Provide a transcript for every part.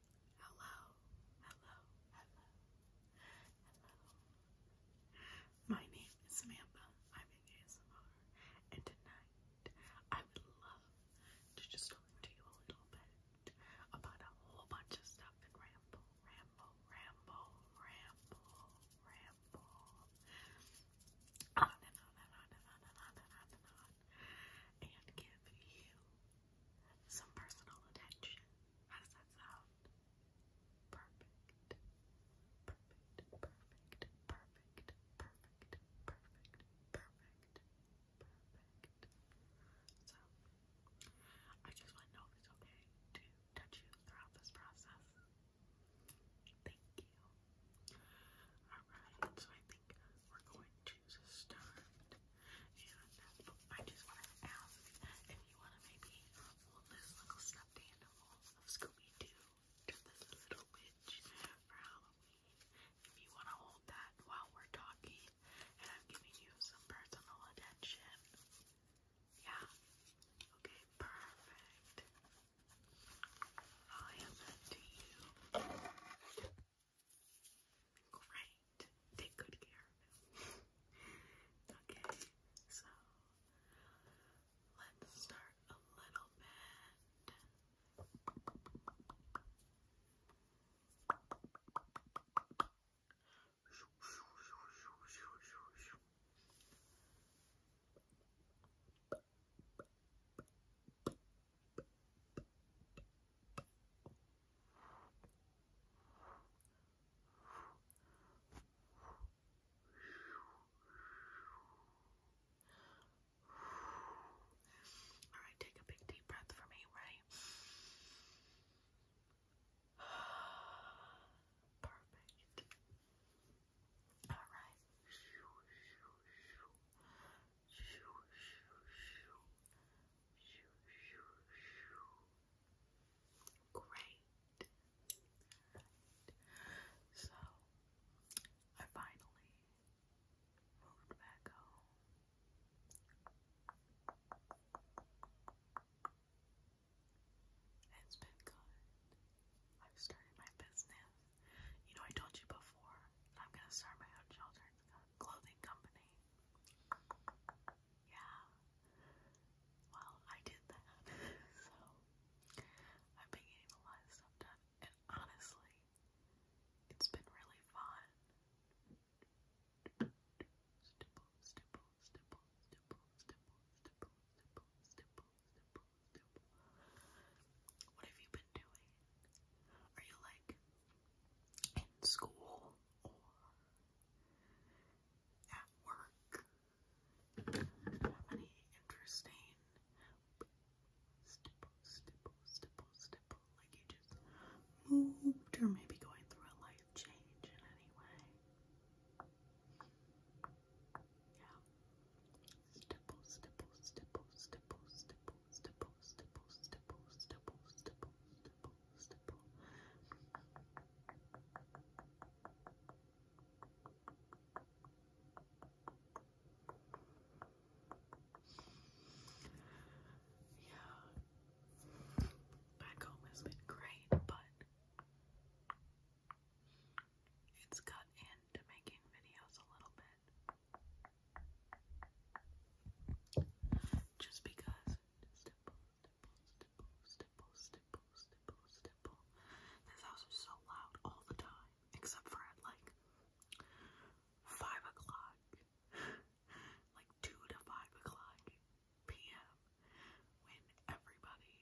Hello, hello, hello, hello. My name is Samantha. I'm ASMR, and tonight I would love to just talk to you a little bit about a whole bunch of stuff and ramble, ramble, ramble, ramble, ramble. And give you some personal attention. How does that sound? Perfect. Perfect, perfect, perfect, perfect, perfect, perfect, perfect. So, I just want to know if it's okay to touch you throughout this process. Thank you. Alright, so I think we're going choose a stunt. And I just want to ask if you want to maybe mold this little stuffed animal of Scooby-Doo to this little witch for Halloween. If you want to hold that while we're talking and I'm giving you some personal attention. Yeah. Okay, perfect. I am up to you. Great. Take good care of him. okay, so let's start a little bit. Okay. All right, take a big deep breath for me, right? Perfect. All right. Great. So I finally moved back home. It's been good. I've started my business. You know, I told you before, I'm gonna start my own children's clothing company. Yeah. Well, I did that. so, I've been getting a lot of stuff done, and honestly, it's been really fun. Stipple, stipple, stipple, stipple, stipple, stipple, stipple, stipple, stipple, Nope. What have you been doing? Are you like in school or at work? Do you have any interesting stipple, stipple, stipple, stipple? Like you just moved or maybe going through a life change in any way? Yeah. Stipple, stipple, stipple, stipple, stipple, stipple, stipple, stipple, stipple, stipple, stipple, stipple. Yeah. Back home has been great, but it's got into making videos a little bit. Just because stipple, stipple, stipple, stipple, stipple, stipple, stipple. This house is so loud all the time, except for at like five o'clock, like two to five o'clock p.m. when everybody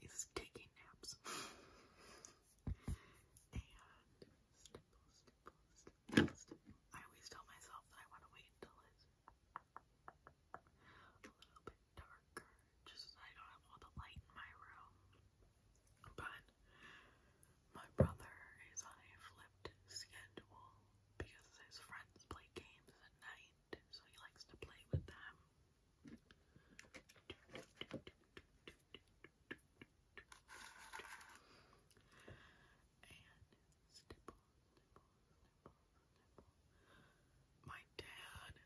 is taking naps. and I always tell myself that I want to wait until it's a little bit darker, just I don't have all the light in my room. But my brother is on a flipped schedule because his friends play games at night so he likes to play with them. And stipple, stipple, stipple, My dad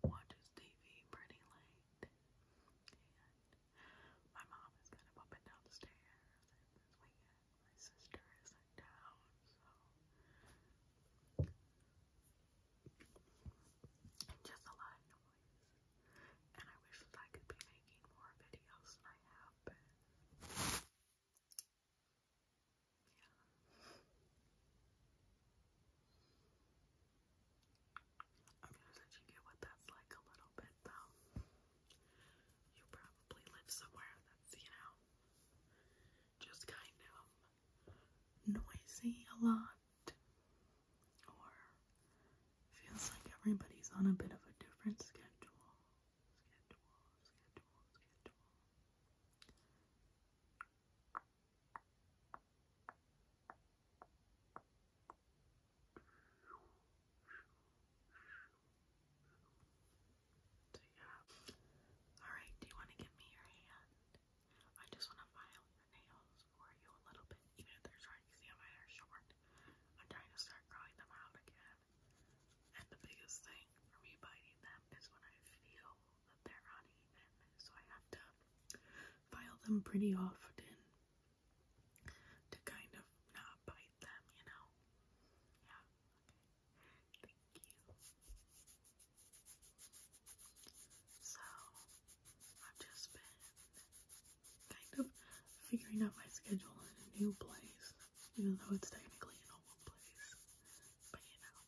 watches TV pretty late, and my mom is kind of up and down the stairs and this weekend. My sister isn't down, so just a lot of noise. And I wish that I could be making more videos than I have been. Yeah. I'm gonna let you get what that's like a little bit though. You probably live somewhere that's, you know, just kind of noisy a lot, or feels like everybody's on a bit of a different schedule. Schedule, schedule, schedule. So yeah. Alright, do you want to give me your hand? I just want to file your nails for you a little bit, even if they're short. You see how mine are short. I'm trying to start growing them out again. And the biggest thing for me biting them is when I feel that they're uneven, so I have to file them pretty often to kind of not bite them, you know? Yeah, okay. Thank you. So, I've just been kind of figuring out my schedule in a new place, even though it's technically an old place. But you know,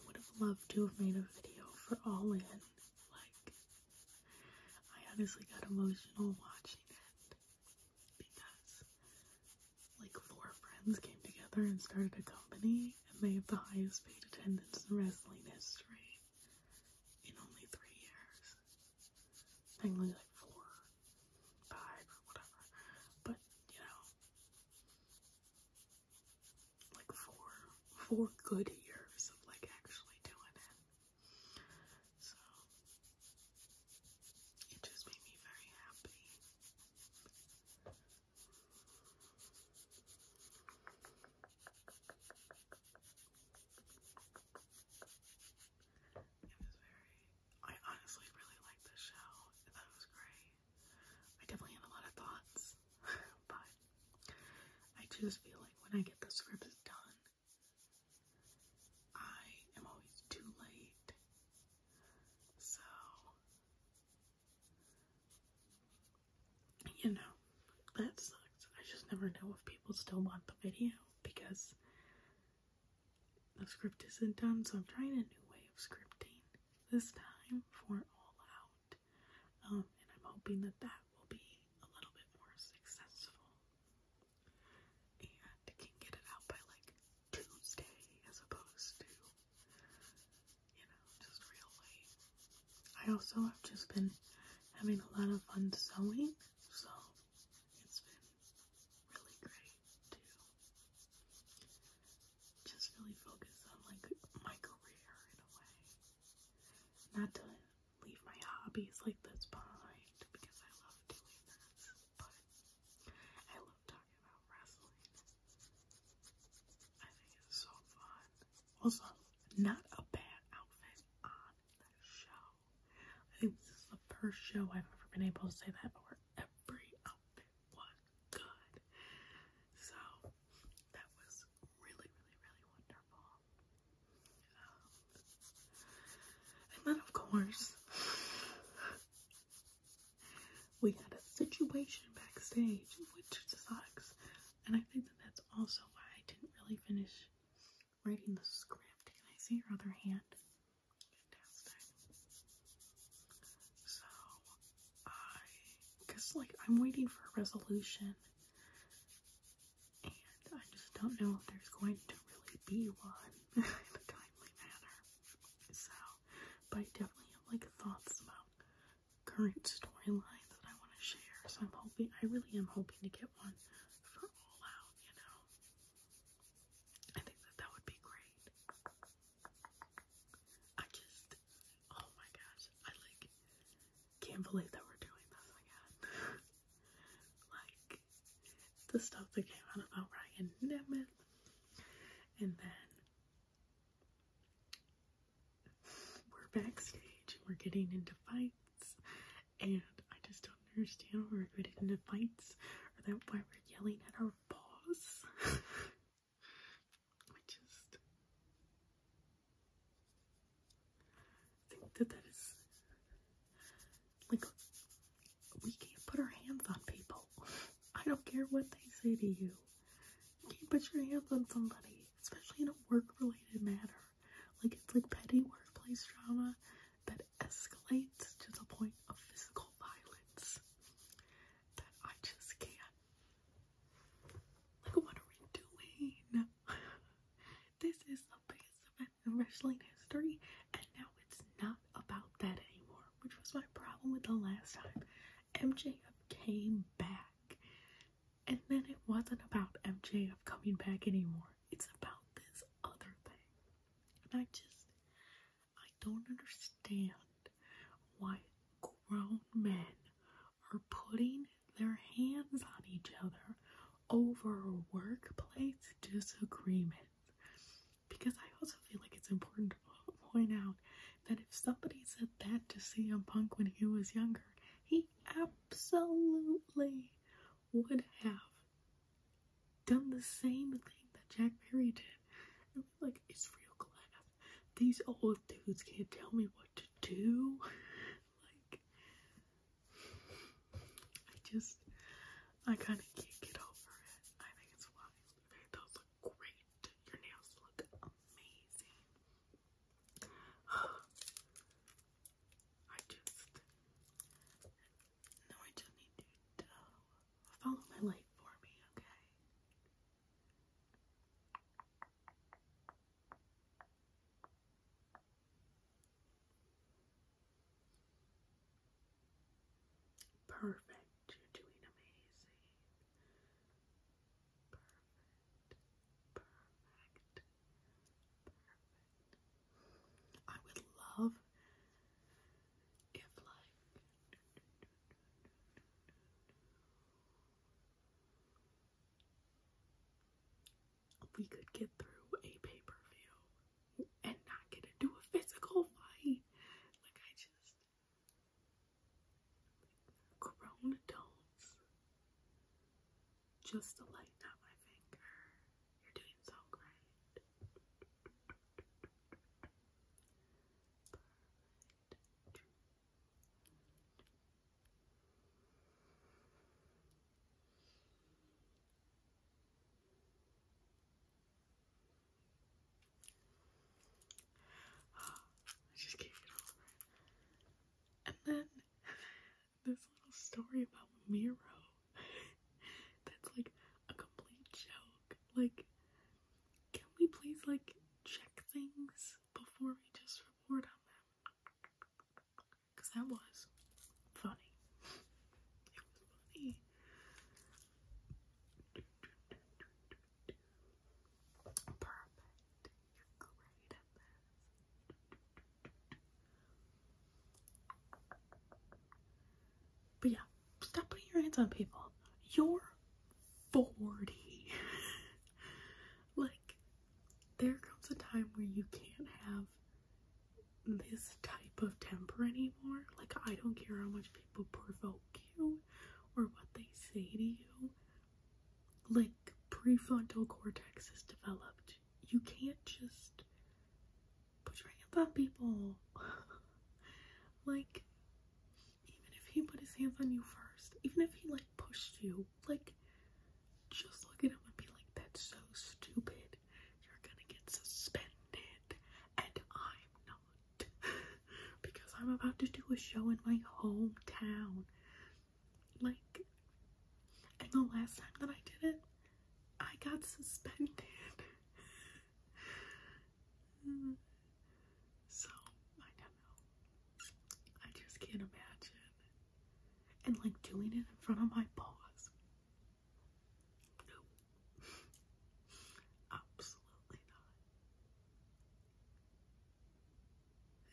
I would have loved to have made a video for All In. Like, I honestly got emotional watching it because like four friends came together and started a company and they have the highest paid attendance in wrestling history in only three years. Technically like four, five or whatever. But you know like four four good years of like actually doing it. So it just made me very happy. It was very I honestly really liked the show. I thought it was great. I definitely had a lot of thoughts, but I just feel like when I get the scripts done, I am always too late. So, you know, that sucks. I just never know if people still want the video because the script isn't done, so I'm trying a new way of scripting this time for All Out. Um, and I'm hoping that that will be a little bit more successful and can get it out by like Tuesday as opposed to, you know, just real late. I also have just been having a lot of fun sewing, so it's been really great to just really focus on like my career in a way. Not to leave my hobbies like this behind because I love doing this, but I love talking about wrestling. I think it's so fun. Also, not a bad outfit on the show. I think this is the first show I've ever been able to say that where every outfit was good. So that was really, really, really wonderful. And then, of course, we had a situation backstage, which sucks. And I think that that's also why I didn't really finish writing the script. And I see your other hand? Fantastic. So, I guess, like, I'm waiting for a resolution and I just don't know if there's going to really be one in a timely manner. So, but I definitely have like thoughts about current storylines that I want to share. So I'm hoping, I really am hoping to get one for All Out. You know, I think that that would be great. I just, oh my gosh, I like can't believe that we're doing this again. like the stuff that came out about Ryan Nemeth, and then we're backstage and we're getting into fights, and I just don't understand why we're getting into fights, or that why we're yelling at our boss. I just I think that that is like we can't put our hands on people. I don't care what they say to you. You can't put your hands on somebody, especially in a work-related matter. Like it's like petty workplace drama that escalates to the point of physical violence that I just can't. Like, what are we doing? this is the biggest event in wrestling history, and now it's not about that anymore, which was my problem with the last time. MJF came back, and then it wasn't about MJF coming back anymore. It's about this other thing, and I just, I don't understand why grown men are putting their hands on each other over workplace disagreements. Because I also feel like it's important to point out that if somebody said that to CM Punk when he was younger, he absolutely would have done the same thing that Jack Perry did. I mean, like, it's real glass these old dudes can't tell me what to do. Like, I just, I kind of can't get over it. I think it's wild. Okay, those look great. Your nails look amazing. I just, no, I just need to follow my light for me, okay? Perfect. You're doing amazing. Perfect. Perfect. Perfect. I would love if like we could get through a paper per view and not get into a physical fight. Like I just grown adults. Just to lighten up my finger. You're doing so great. I just can't get over And then this little story about Miro that's like a complete joke. Like can we please like check things before we just report on them? Because that was funny. It was funny. Perfect. You're great at this. But yeah, Stop putting your hands on people. You're 40. like, there comes a time where you can't have this type of temper anymore. Like, I don't care how much people provoke you or what they say to you. Like, prefrontal cortex is developed. You can't just put your hands on people. like, even if he put his hands on you first, even if he like pushed you, like just look at him and be like, that's so stupid. You're gonna get suspended. And I'm not. because I'm about to do a show in my hometown. Like, and the last time that I did it, I got suspended. so I don't know. I just can't imagine. And like doing it in front of my boss. No. Absolutely not.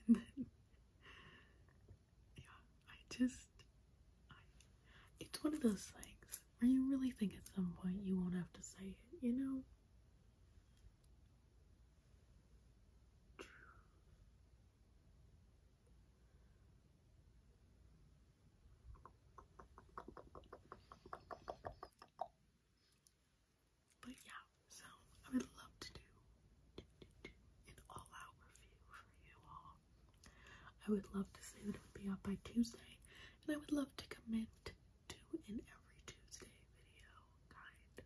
And then yeah, I just it's one of those things where you really think at some point you won't have to say it, you know? But yeah, so I would love to do, an all out review for you all. I would love to say that it would be out by Tuesday, and I would love to commit to do an every Tuesday video kind of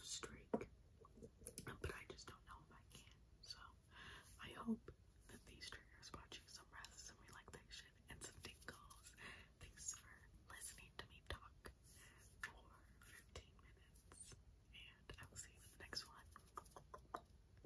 streak. But I just don't know if I can. So I hope that these triggers brought you some rest, some relaxation, and some tingles. Thanks for listening to me talk for 15 minutes. And I will see you in the next one.